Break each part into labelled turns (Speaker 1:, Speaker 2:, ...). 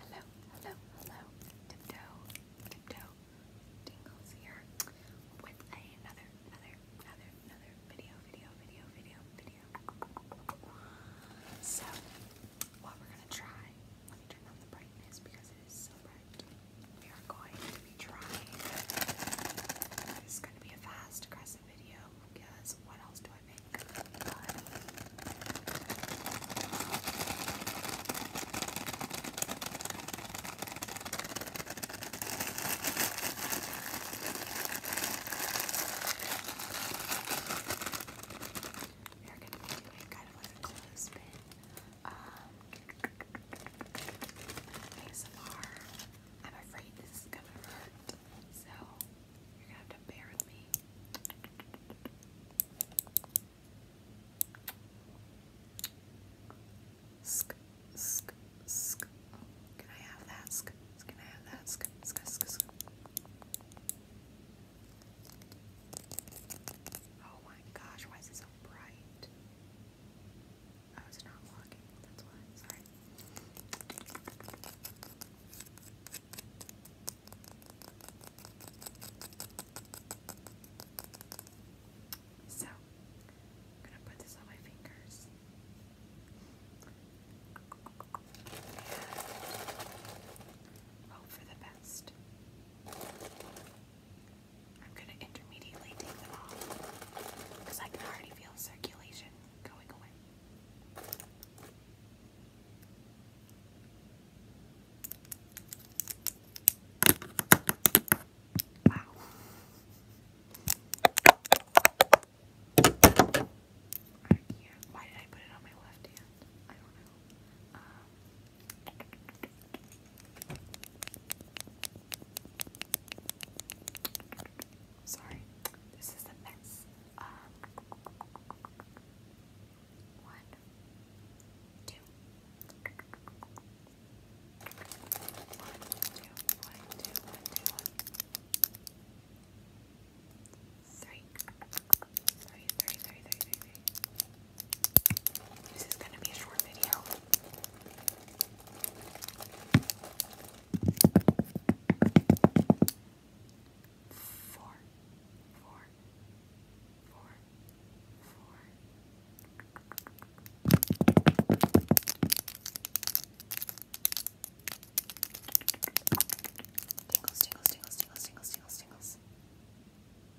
Speaker 1: Hello, hello, hello. Tiptoe, tiptoe. Tingles here another, another, another, another video, video, video, video, video. So, what we're gonna try, let me turn on the brightness because it is so bright. We are going to be trying. This is gonna be a fast, aggressive video what else do I make? But are going to be kind of like a clothespin um, ASMR. I'm afraid this is going to hurt. So you're gonna have to bear with me. Sk, sk, sk. Oh, can I have that? Sk, can I have that? Sk, sk, sk, sk.
Speaker 2: Oh my gosh, why is it so bright? I was not walking, that's why. Sorry. So,
Speaker 1: I'm gonna put this on my fingers. And hope for the best. I'm going to intermediately take them off because I can already feel circulation going away. Wow. Right here. Why did I put it on my left hand? I don't know. Um, Sorry, this is a mess. Um, this is going to be a short video. Four, four, four, four. Tingles, tingles, tingles, tingles, tingles, tingles,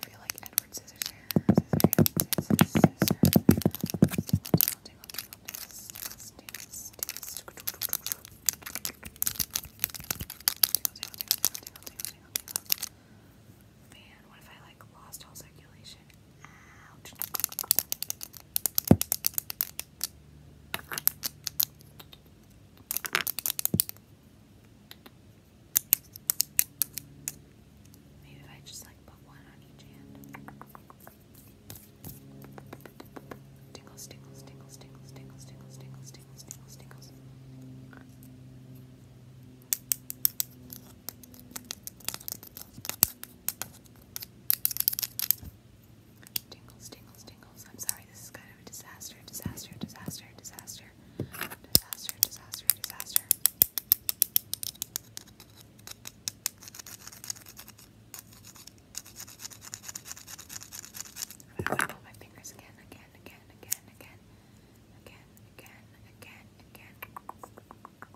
Speaker 1: I feel like Edward Scissorhands. Scissors, scissors, Man, what if I like lost all circulation? Ouch. Maybe if I just like put one on each hand. Tingles, tingles, tingles, tingles, tingles, tingles, tingles, tingles, tingles, tingles. Tingles, tingles, tingles. I'm sorry, this is kind of a disaster, disaster, disaster, disaster, disaster, disaster, disaster. I'm gonna wiggle my fingers again, again, again, again, again, again, again, again, again.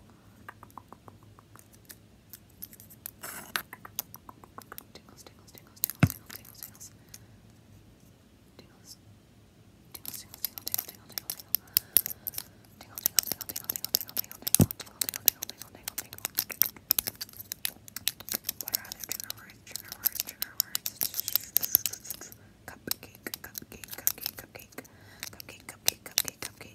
Speaker 1: Tingles, tingles, tingles, tingles, tingles, tingles, tingles. Tingles. Tingles, tingles, tingle, tingle, tingle, tingle, tingle. Tingle, tingle, tingle, tingle, tingle, tingle, tingle, tingle, tingle, tingle, tingle, tingle, tingle, tingle. What are other trigger words? Trigger words, trigger words. Cupcake, cupcake, cupcake, cupcake, cupcake, cupcake, cupcake,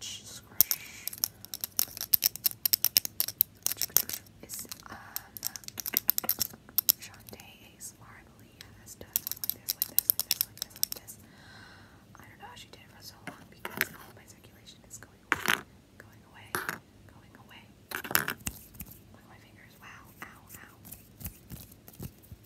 Speaker 1: scratch, scratch. It's um Shantae ASMR, I believe, has done something like this, like this, like this, like this, like this. I don't know how she did it for so long because all my circulation is going going away, going away. Look at my fingers. Wow, ow, ow.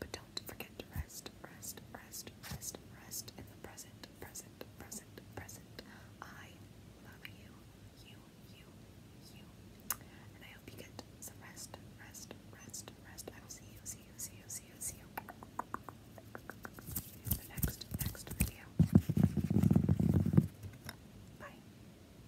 Speaker 1: But don't forget to rest, rest, rest, rest, rest in the present, present, present, present. I love you, you, you, you. And I hope you get some rest, rest, rest, rest. I will see you, see you, see you, see you, see you. In the next, next video. Bye.